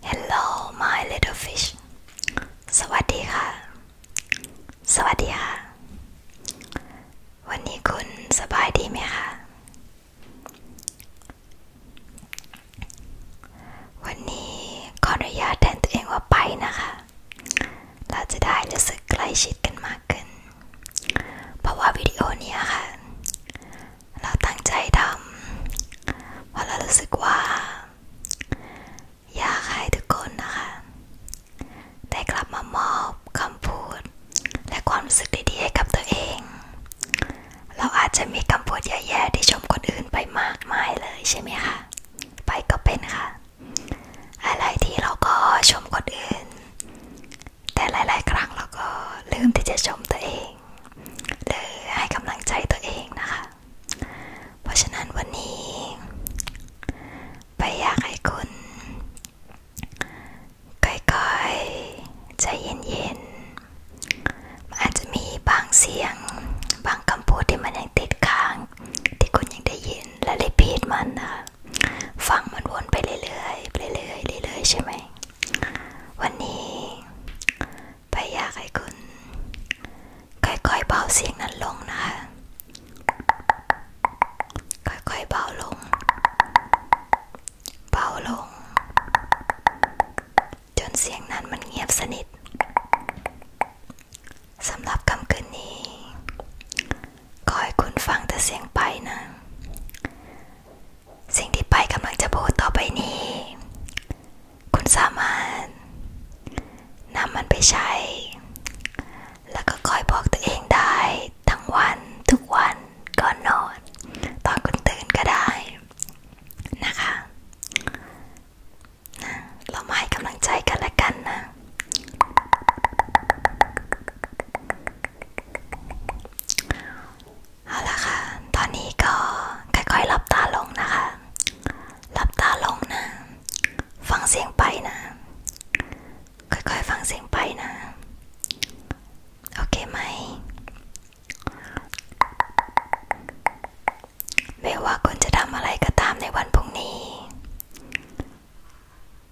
Hello my little fish สวัสดีค่ะ สวัสดีค่ะ วันนี้คุณสบายดีไหมคะ วันนี้ขออนุญาตแทนตัวเองว่าไปนะคะ เราจะได้รู้สึกใกล้ชิดกันมากขึ้นเพราะว่าวิดีโอเนี้ยค่ะ เราตั้งใจทำเพราะเรารู้สึกว่าอยากให้ทุกคนนะคะได้กลับมามอบคำพูด และความรู้สึกดีๆให้กับตัวเอง เราอาจจะมีคำพูดแย่ๆที่ชมคนอื่นไปมากมายเลย ใช่ไหมคะไปก็เป็นค่ะ อะไรที่เราก็ชมคนอื่นแต่หลาย ๆ ครั้งเราก็ลืมที่จะชมตัวเองหรือให้กำลังใจตัวเองนะคะ เพราะฉะนั้นวันนี้ ไปอยากให้คุณค่อยๆใจเย็นๆมันอาจจะมีบางเสียง บางคำพูดที่มันยังติดค้างที่คุณยังได้ยินและรีพีทมันนะคะฟังมันวนไปเรื่อยๆไปเรื่อยๆ เรื่อยๆ ใช่ไหม วันนี้ ไปอยากให้คุณ ค่อยๆ เบาเสียงนั้นลงนะคะค่อย ๆ เบาลง เบาลง จนเสียงนั้นมันเงียบสนิท สำหรับคำคืนนี้ขอให้คุณฟังแต่เสียงไปนะสิ่งที่ไปกำลังจะพูดต่อไปนี้ คุณสามารถนำมันไปใช้ แล้วก็คอยบอกตัวเองได้ ทั้งวันทุกวันก่อนนอนตอนคุณตื่นก็ได้ นะคะนะเรามาให้กำลังใจกันและกันนะเอาละค่ะ ตอนนี้ก็ค่อยๆหลับตาลงนะคะ หลับตาลงนะ ฟังเสียงไปนะ ค่อยๆ ฟังเสียงไปนะ โอเคไหม ไม่ว่าคุณจะทำอะไรก็ตามในวันพรุ่งนี้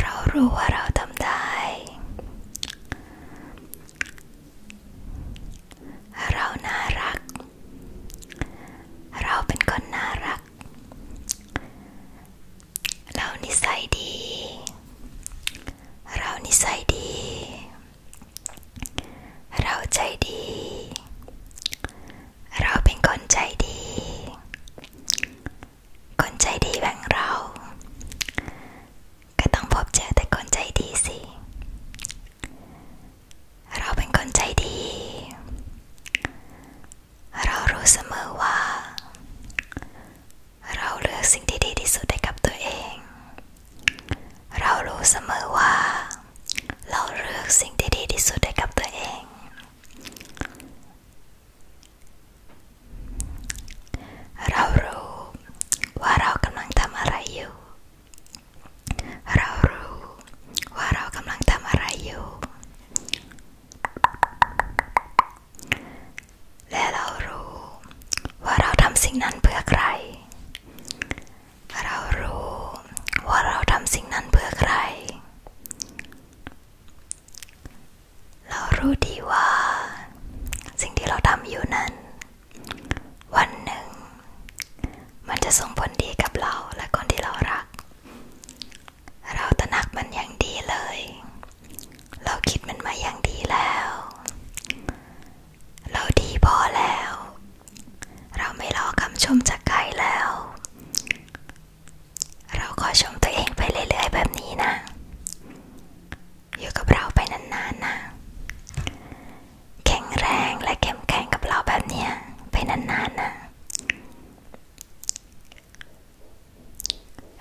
เรารู้ว่าเราทำได้ เราน่ารัก เราเป็นคนน่ารัก เรานิสัยดี เรานิสัยดี เราใจดี เราเป็นคนใจดีคนใจดีแบ่งเรา ก็ต้องพบเจอแต่คนใจดีสิ เราเป็นคนใจดี เรารู้เสมอว่า เราเลือกสิ่งที่ดีที่สุดให้กับตัวเอง เรารู้เสมอว่า เราเลือกสิ่งที่ดีที่สุดให้กับตัวเองเรารู้ว่าเรากำลังทำอะไรอยู่ เรารู้ว่าเรากำลังทำอะไรอยู่ และเรารู้ว่าเราทำสิ่งนั้นเพื่อใคร เรารู้ว่าเราทำสิ่งนั้นเพื่อใครเรารู้ดีว่า สิ่งที่เราทำอยู่นั้น วันหนึ่ง มันจะส่งผลดีกับเราและคนที่เรารัก เราตระหนักมันอย่างดีเลย เราคิดมันมาอย่างดีแล้ว เราดีพอแล้ว เราไม่รอคำชมจากใครแล้วเราขอชมตัวเองไปเรื่อยๆ แบบนี้นะอยู่กับเราไปนานๆนะแข็งแรงและเข้มแข็งกับเราแบบนี้ไปนานๆนะ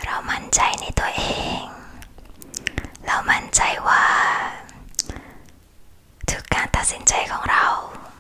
เรามั่นใจในตัวเอง เรามั่นใจว่า ทุกการตัดสินใจของเรา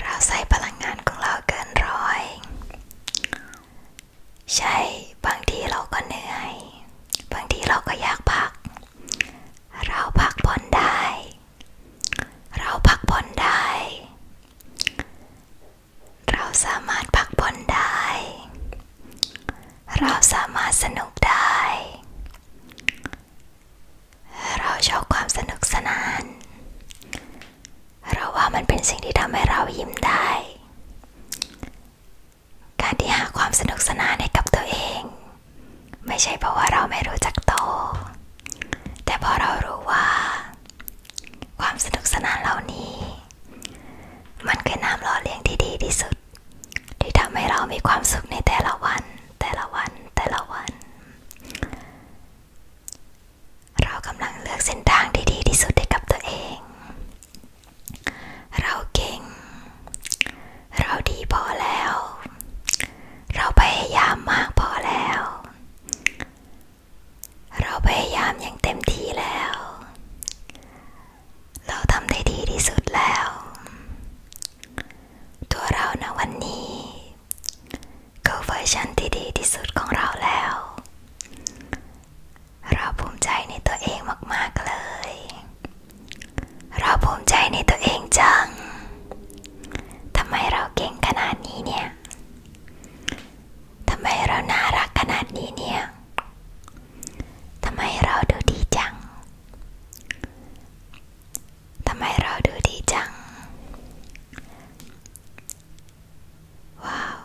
เราใส่พลังงานของเราเกินร้อย ใช่บางทีเราก็เหนื่อย บางทีเราก็อยากพัก เราพักผ่อนได้ เราพักผ่อนได้ เราสามารถพักผ่อนได้ เราสามารถสนุกได้เราชอบความสนุกสนาน เราว่ามันเป็นสิ่งที่ทำให้เรายิ้มได้ การที่หาความสนุกสนานให้กับตัวเอง ไม่ใช่เพราะว่าเราไม่รู้จักโต แต่เพราะเรารู้ว่า ความสนุกสนานเหล่านี้ มันคือน้ำหล่อเลี้ยงที่ดีที่สุด ที่ทำใหเรามีความสุขในแต่ละวันแต่ละวันแต่ละวันเรากำลังเลือกเส้นทางที่ดีที่สุดให้กับตัวเอง เราเก่ง เราดีพอแล้ว เราพยายามมากพอแล้ว เราพยายามอย่างเต็มที่แล้ว เราทำได้ดีที่สุดแล้วตัวเรานะวันนี้ก็เวอร์ชันที่ดีที่สุดของเราแล้วเราภูมิใจในตัวเองมากๆเลย เราภูมิใจในตัวเองจังทำไมเราเก่งขนาดนี้เนี่ยทำไมเราน่ารักขนาดนี้เนี่ยทำไมเราดูดีจังทำไมเราดูดีจัง ว้าว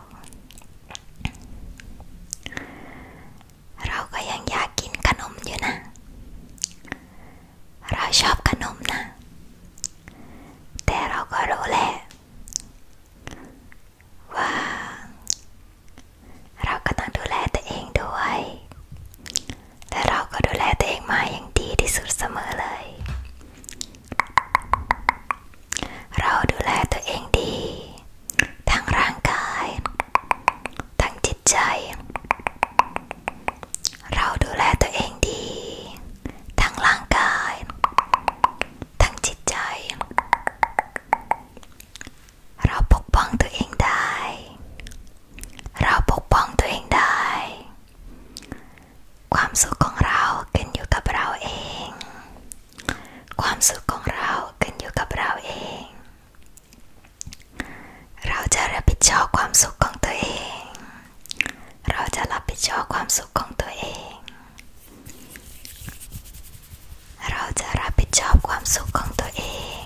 เราก็ยังอยากกินขนมอยู่นะ เราชอบขนมนะ แต่เราก็รู้แหละว่า เราก็ต้องดูแลตัวเองด้วยแต่เราก็ดูแลตัวเองมาอย่างดีที่สุดเสมอเลย เราดูแลตัวเองดี ทั้งร่างกาย ทั้งจิตใจ เราดูแลตัวเองดี ทั้งร่างกาย ทั้งจิตใจ เราปกป้องตัวเองได้เราปกป้องตัวเองได้ ความสุขของเราขึ้นอยู่กับเราเอง ความสุขของเราขึ้นอยู่กับเราเอง เราจะรับผิดชอบความสุขของตัวเอง เราจะรับผิดชอบความสุขของตัวเอง เราจะรับผิดชอบความสุขของตัวเอง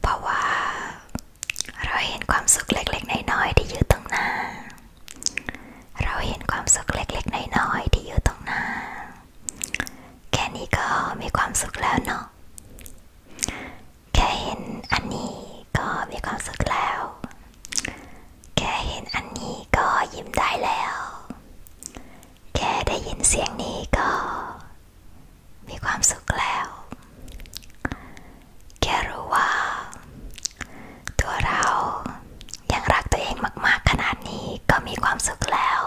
เพราะว่าเราเห็นความสุขเล็กๆน้อยๆที่อยู่ตรงหน้า เราเห็นความสุขเล็กๆน้อยๆที่อยู่ตรงหน้า แค่นี้ก็มีความสุขแล้วเนาะ แค่เห็นอันนี้ก็มีความสุขแล้ว แค่เห็นอันนี้ก็ยิ้มได้แล้วแค่ได้ยินเสียงนี้ก็ มีความสุขแล้ว แค่รู้ว่าตัวเรายังรักตัวเองมากๆขนาดนี้ก็มีความสุขแล้ว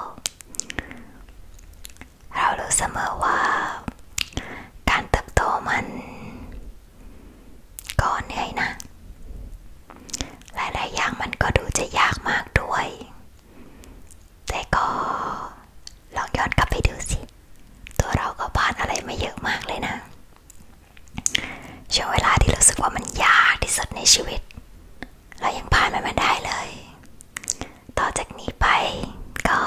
เรารู้เสมอว่า การเติบโตมันก็เหนื่อยนะ หลายๆอย่างมันก็ดูจะยากมากด้วยแต่ก็ลองย้อนกลับไปดูสิ ตัวเราก็ผ่านอะไรมาเยอะมากเลยนะ ช่วงเวลาที่รู้สึกว่ามันยากที่สุดในชีวิต เรายังผ่านมันมาได้เลย ต่อจากนี้ไปก็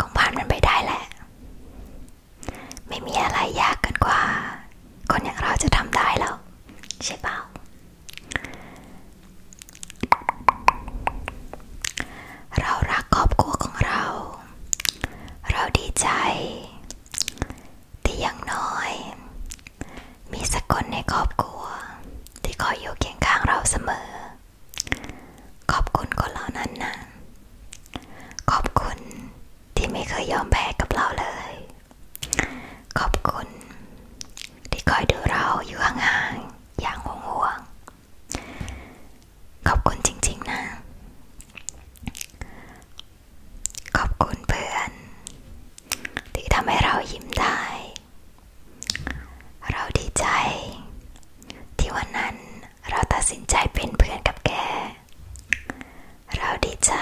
คงผ่านมันไปได้แหละ ไม่มีอะไรยากเกินกว่า คนอย่างเราจะทำได้แล้วใช่เปล่าเรารักครอบครัวของเรา เราดีใจ ที่อย่างน้อย มีสักคนในครอบครัว ที่คอยอยู่เคียงข้างเราเสมอ ขอบคุณคนเหล่านั้นนะ ขอบคุณที่ไม่เคยยอมแพ้กับเราเลยขอบคุณที่คอยดูเราอยู่ห่างๆอย่างห่วงๆขอบคุณจริง ๆ นะ ขอบคุณเพื่อนที่ทำให้เรายิ้มได้ เราดีใจ ที่วันนั้นเราตัดสินใจเป็นเพื่อนกับแก เราดีใจ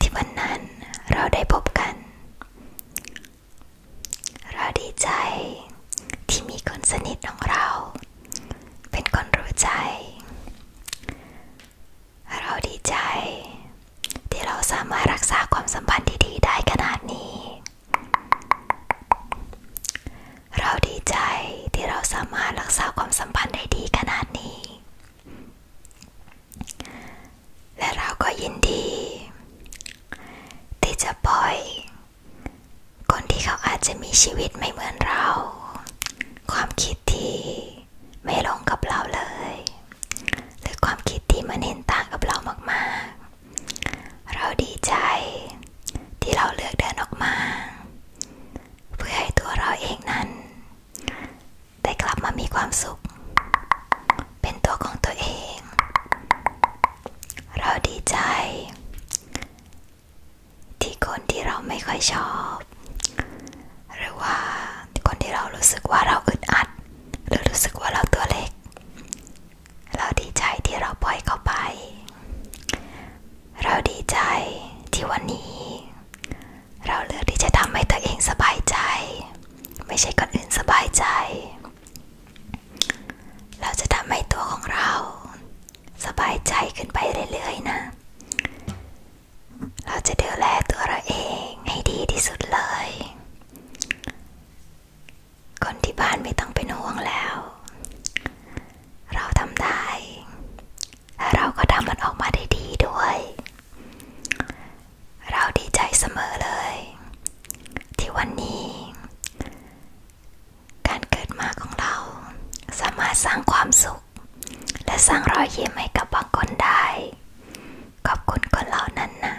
ที่วันนั้นเราได้พบกันเราดีใจที่มีคนสนิทของเราเป็นคนรู้ใจ เราดีใจ ที่เราสามารถรักษาความสัมพันธ์ที่ดีได้ขนาดนี้ เราดีใจที่เราสามารถรักษาความสัมพันธ์ได้ดีขนาดนี้และเราก็ยินดี ที่จะปล่อยคนที่เขาอาจจะมีชีวิตไม่เหมือนเรา ความคิดที่ไม่ลงกับเราเลยหรือความคิดที่มันเห็นต่างกับเรามากๆ เราดีใจที่เราเลือกเดินออกมา เพื่อให้ตัวเราเองนั้นได้กลับมามีความสุข เป็นตัวของตัวเอง เราดีใจ ที่คนที่เราไม่ค่อยชอบ หรือว่าคนที่เรารู้สึกว่าเราอึดอัด หรือรู้สึกว่าเราตัวเล็ก เราดีใจที่เราปล่อยเขาไป เราดีใจที่วันนี้เราเลือกที่จะทำให้ตัวเองสบายใจ ไม่ใช่คนอื่นสบายใจ เราจะทำให้ตัวของเรา สบายใจขึ้นไปเรื่อยๆ นะ เราจะดูแลตัวเราเองให้ดีที่สุดเลย คนที่บ้านไม่ต้องเป็นห่วงแล้ว เราทำได้และเราก็ทำมันออกมาได้ดีด้วยเราดีใจเสมอเลย ที่วันนี้ การเกิดมาของเรา สามารถสร้างความสุข และสร้างรอยยิ้มให้กับบางคนได้ ขอบคุณคนเหล่านั้นนะ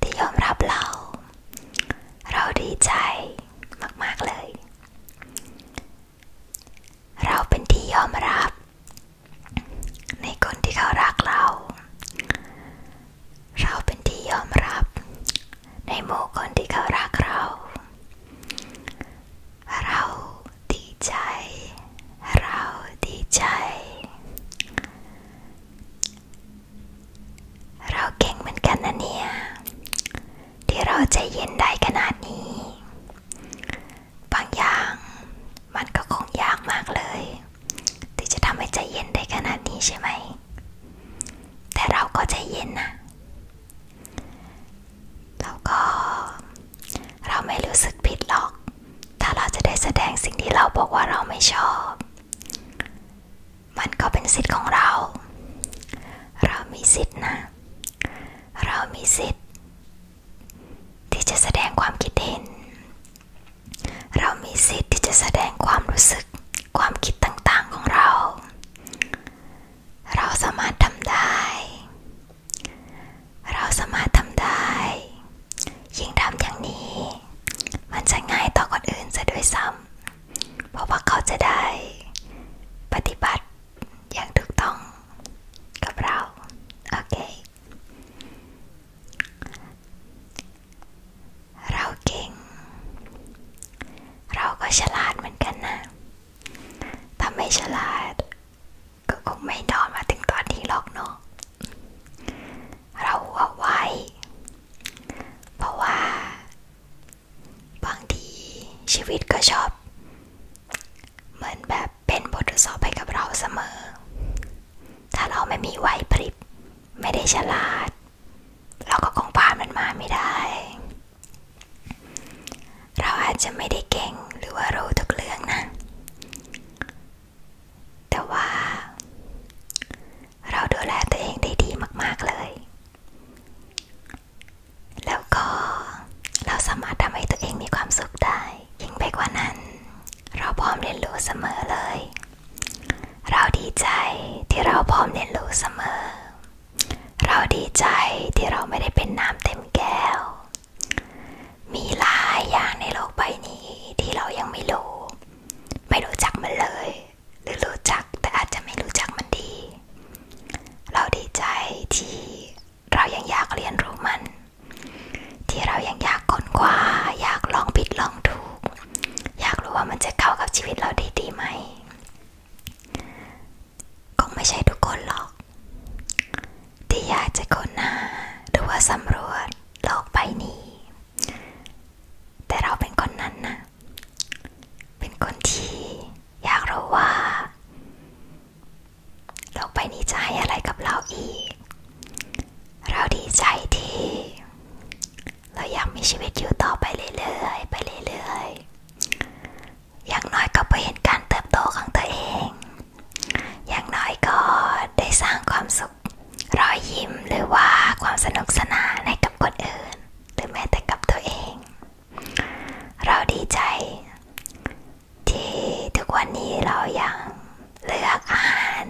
ที่ยอมรับเรา เราดีใจมาก ๆ เลย เราเป็นที่ยอมรับในคนที่เขารักเรา เราเป็นที่ยอมรับ ในหมู่คนที่เขารักเรา เราดีใจ เราดีใจ เราเก่งเหมือนกันนะเนี่ย ที่เราใจเย็นได้ขนาดนี้บางอย่างมันก็คงยากมากเลย ที่จะทำให้ใจเย็นได้ขนาดนี้ใช่ไหม แต่เราก็ใจเย็นนะแล้วก็ เราไม่รู้สึกผิดหรอก ถ้าเราจะได้แสดงสิ่งที่เราบอกว่าเราไม่ชอบ มันก็เป็นสิทธิ์ของเรา เรามีสิทธินะ เรามีสิทธิ์ที่จะแสดงความคิดเห็น เรามีสิทธิ์ที่จะแสดงความรู้สึกความคิดต่างๆของเรา เราสามารถทำได้ เราสามารถทำได้ยิ่งทำอย่างนี้ มันจะง่ายต่อคนอื่นซะด้วยซ้ำเพราะว่าเขาจะได้ ปฏิบัติอย่างถูกต้องกับเราโอเคเราเก่ง เราก็ฉลาดเหมือนกันนะ ถ้าไม่ฉลาด ก็คงไม่นอนมาถึงตอนนี้หรอกเนาะเราหัวไวเพราะว่า บางทีชีวิตก็ชอบ เหมือนแบบเป็นบททดสอบให้กับเราเสมอ ถ้าเราไม่มีไหวพริบ ไม่ได้ฉลาด เราก็คงผ่านมันมาไม่ได้ เราอาจจะไม่ได้เก่งหรือว่ารู้ทุกเรื่องนะ แต่ว่า เราดูแลตัวเองได้ดีมากๆเลย แล้วก็เราสามารถทำให้ตัวเองมีความสุขได้ยิ่งไปกว่านั้นเราพร้อมเรียนรู้เสมอเลย เราดีใจที่เราพร้อมเรียนรู้เสมอ เราดีใจที่เราไม่ได้เป็นน้ำเต็มแก้ว มีหลายอย่างในโลกใบนี้ที่เรายังไม่รู้ ไม่รู้จักมันเลย หรือรู้จักแต่อาจจะไม่รู้จักมันดี เราดีใจที่เรายังอยากเรียนรู้มัน ที่เรายังอยากค้นคว้าอยากลองผิดลองถูก อยากรู้ว่ามันจะเข้ากับชีวิตเราได้ดีไหมคงไม่ใช่ทุกคนหรอกที่อยากจะค้นหาหรือว่าสำรวจโลกใบนี้ แต่เราเป็นคนนั้นนะเป็นคนที่อยากรู้ว่าโลกใบนี้จะให้อะไรกับเราอีก เราดีใจที่เรายังมีชีวิตอยู่ต่อไปเรื่อยๆไปเรื่อยๆอย่างน้อยก็ไปเห็นการเติบโตของตัวเอง อย่างน้อยก็ได้สร้างความสุขรอยยิ้มหรือว่าความสนุกสนานให้กับคนอื่น หรือแม้แต่กับตัวเอง เราดีใจที่ทุกวันนี้เรายังเลือกอาหาร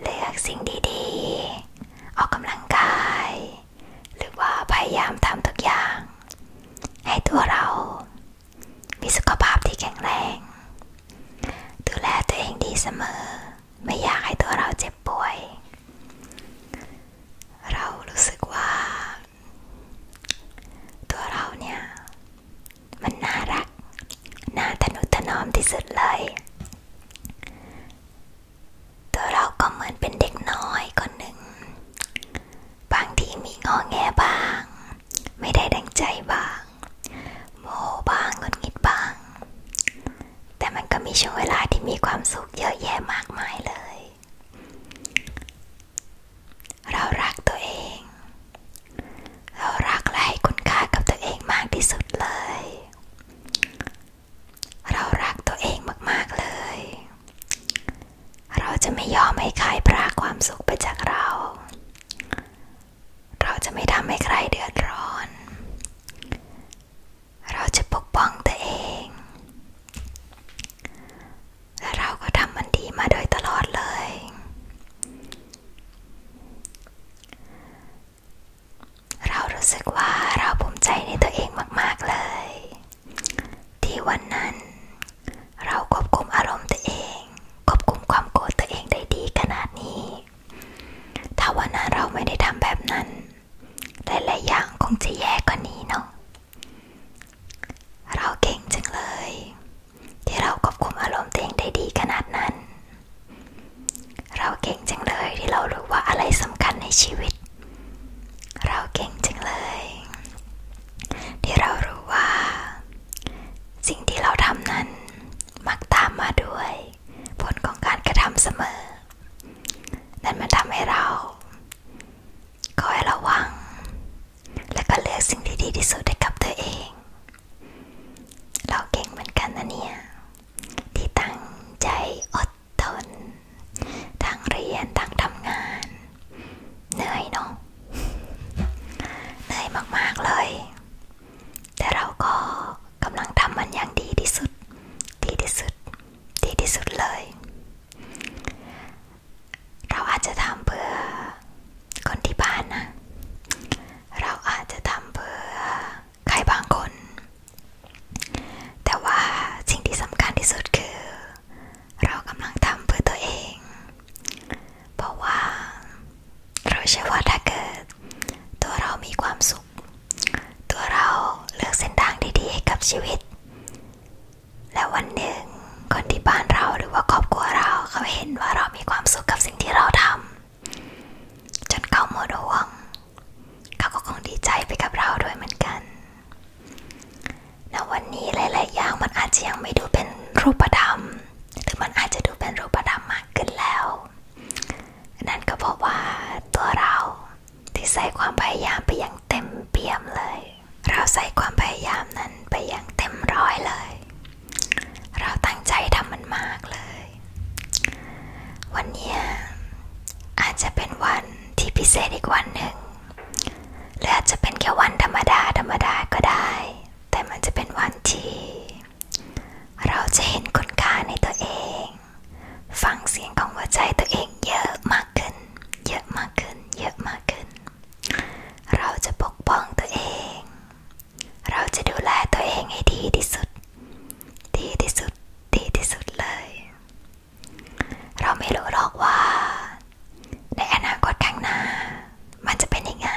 เลือกสิ่งดีๆ ออกกำลังกาย หรือว่าพยายามทำทุกอย่าง ให้ตัวเรามีสุขภาพที่แข็งแรง ดูแลตัวเองดีเสมอ ไม่อยากให้ตัวเราเจ็บป่วย เรารู้สึกว่า ตัวเราเนี่ยมันน่ารัก น่าทนุถนอมที่สุดเลย ตัวเราก็เหมือนเป็นเด็กน้อยคนหนึ่ง บางทีมีงอแงบ้าง ไม่ได้ดังใจบ้าง โมบ้างงุนงิดบ้าง แต่มันก็มีช่วงเวลาที่มีความสุขเยอะแยะมากมายเลยเรารักตัวเอง เรารักและให้คุณค่ากับตัวเองมากที่สุดเลย เรารักตัวเองมากๆเลย เราจะไม่ยอมให้ใครพรากความสุขไปจากเรา เราจะไม่ทำให้ใครเดือดร้อน เราจะปกป้องตัวเอง และเราก็ทำมันดีมาโดยตลอดเลยเรารู้สึกว่าเราภูมิใจในตัวเองมากๆเลย ที่วันนั้น เราควบคุมอารมณ์ตัวเองควบคุมความโกรธตัวเองได้ดีขนาดนี้ ถ้าวันนั้นเราไม่ได้ทำแบบนั้นหลายๆอย่างคงจะแย่กว่านี้เนาะเราเก่งจังเลยที่เราควบคุมอารมณ์ตัวเองได้ดีขนาดนั้น เราเก่งจังเลยที่เรารู้ว่าอะไรสำคัญในชีวิต เราเก่งจังเลย ที่เรารู้ว่า สิ่งที่เราทำนั้น มักตามมาด้วย ผลของการกระทำเสมอ นั่นมันทำให้เราคอยระวังแล้วก็เลือกสิ่งที่ดีที่สุดให้กับตัวเอง เราเก่งเหมือนกันนะเนี่ย ที่ตั้งใจอดทนทั้งเรียนทั้งทำงาน เหนื่อยเนาะเหนื่อยมากๆเลย แต่เราก็กำลังทำมันอย่างดีที่สุด ดีที่สุด ดีที่สุดเลยเราอาจจะทำเพื่อคนที่บ้านนะ เราอาจจะทำเพื่อใครบางคน แต่ว่าสิ่งที่สำคัญที่สุดคือ เรากำลังทำเพื่อตัวเอง เพราะว่า เราเชื่อถ้าเกิด ตัวเรามีความสุข ตัวเราเลือกเส้นทางดีๆให้กับชีวิต และวันหนึ่งคนที่บ้านเราหรือว่าครอบครัวเราเขาเห็นว่าเรามีความสุขกับสิ่งที่เราทำจนเขาหมดหวงเขาก็คงดีใจไปกับเราด้วยเหมือนกันณวันนี้หลายๆอย่างมันอาจจะยังไม่ดูเป็นรูปธรรมหรือมันอาจจะดูเป็นรูปธรรมมากขึ้นแล้วนั่นก็เพราะว่าตัวเราที่ใส่ความพยายามไปอย่างเต็มเปี่ยมเลย เราใส่ความพยายามนั้นไปอย่างเต็มร้อยเลยเราตั้งใจทำมันมากเลย วันนี้ อาจจะเป็นวันที่พิเศษอีกวันหนึ่งหรืออาจจะเป็นแค่วันธรรมดา ธรรมดาก็ได้ แต่มันจะเป็นวันที่เราจะเห็นคุณค่าในตัวเอง ฟังเสียงของหัวใจตัวเองเยอะมากขึ้น เยอะมากขึ้น เยอะมากขึ้นเราจะปกป้องตัวเอง เราจะดูแลตัวเองให้ดีที่สุด ดีที่สุด ดีที่สุดเลย เราไม่รู้หรอกว่า ในอนาคตข้างหน้ามันจะเป็นยังไง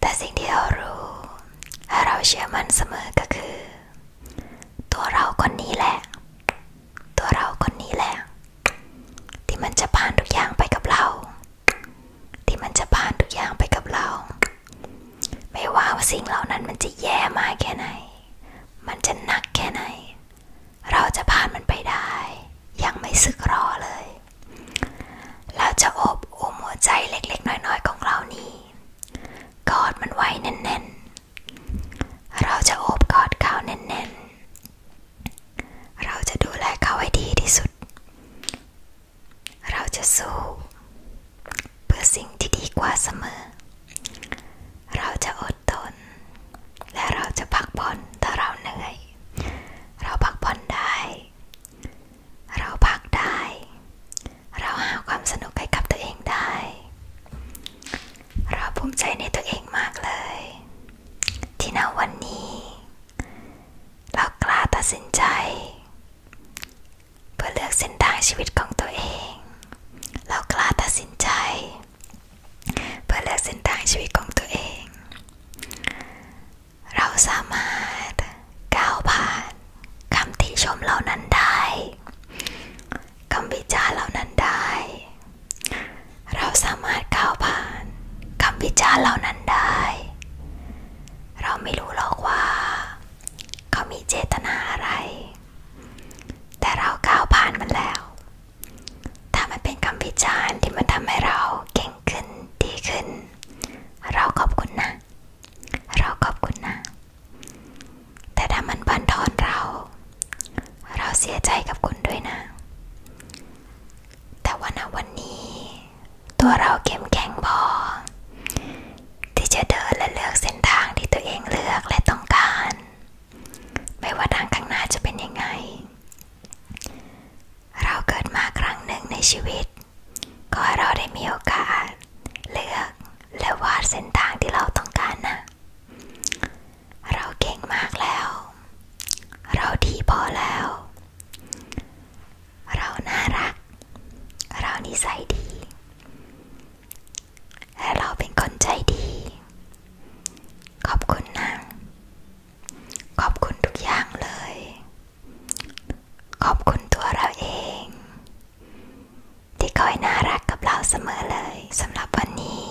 แต่สิ่งที่เรารู้และเราเชื่อมันเสมอ ก็คือ ตัวเราคนนี้แหละ ตัวเราคนนี้แหละที่มันจะผ่านทุกอย่างไปกับเรา ที่มันจะผ่านทุกอย่างไปกับเรา ไม่ว่าสิ่งเหล่านั้นมันจะแย่มากแค่ไหน มันจะหนักแค่ไหน เราจะผ่านมันไปได้ ยังไม่สึกรอเลย เราจะอบอุ้มหัวใจเล็กๆ น้อย ๆ ของเรานี้ กอดมันไว้แน่นๆเราจะอบกอดเขาแน่นเราจะดูแลเขาให้ดีที่สุด เราจะสู้ เพื่อสิ่งที่ดีกว่าเสมอ เราจะอดทนและเราจะพักผ่อนถ้าเราเหนื่อย เราพักผ่อนได้ เราพักได้ เราหาความสนุกให้กับตัวเองได้ เราภูมิใจในตัวเองมากเลย ที่ณวันนี้เรากล้าตัดสินใจ เพื่อเลือกเส้นทางชีวิตของตัวเอง เรากล้าตัดสินใจ เพื่อเลือกเส้นทางชีวิตของตัวเอง เราสามารถก้าวผ่านคำติชมเหล่านั้นได้ คำวิจารณ์เหล่านั้นได้เราสามารถก้าวผ่านคำวิจารณ์เหล่านั้นได้ เราไม่รู้หรอกว่าเขามีเจตนาอะไร แต่เราก้าวผ่านมันแล้ว ถ้ามันเป็นคำวิจารณ์ที่มันทำให้เราเก่งขึ้นดีขึ้น เราขอบคุณนะ เราขอบคุณนะ แต่ถ้ามันบั่นทอนเรา เราเสียใจกับคุณด้วยนะแต่ว่าณวันนี้ตัวเราเข้มแข็งพอ ที่จะเดินและเลือกเส้นทางที่ตัวเองเลือกและต้องการไม่ว่าทางข้างหน้าจะเป็นยังไง เราเกิดมาครั้งหนึ่งในชีวิตก็ให้เราได้มีโอกาสเลือกและวาดเส้นทางที่เราต้องการนะเราเก่งมากแล้ว เราดี พอแล้ว เราน่ารัก เรานิสัยดี และเราเป็นคนใจดี ขอบคุณนะขอบคุณทุกอย่างเลย ขอบคุณตัวเราเอง ที่คอยน่ารักกับเราเสมอเลยสำหรับวันนี้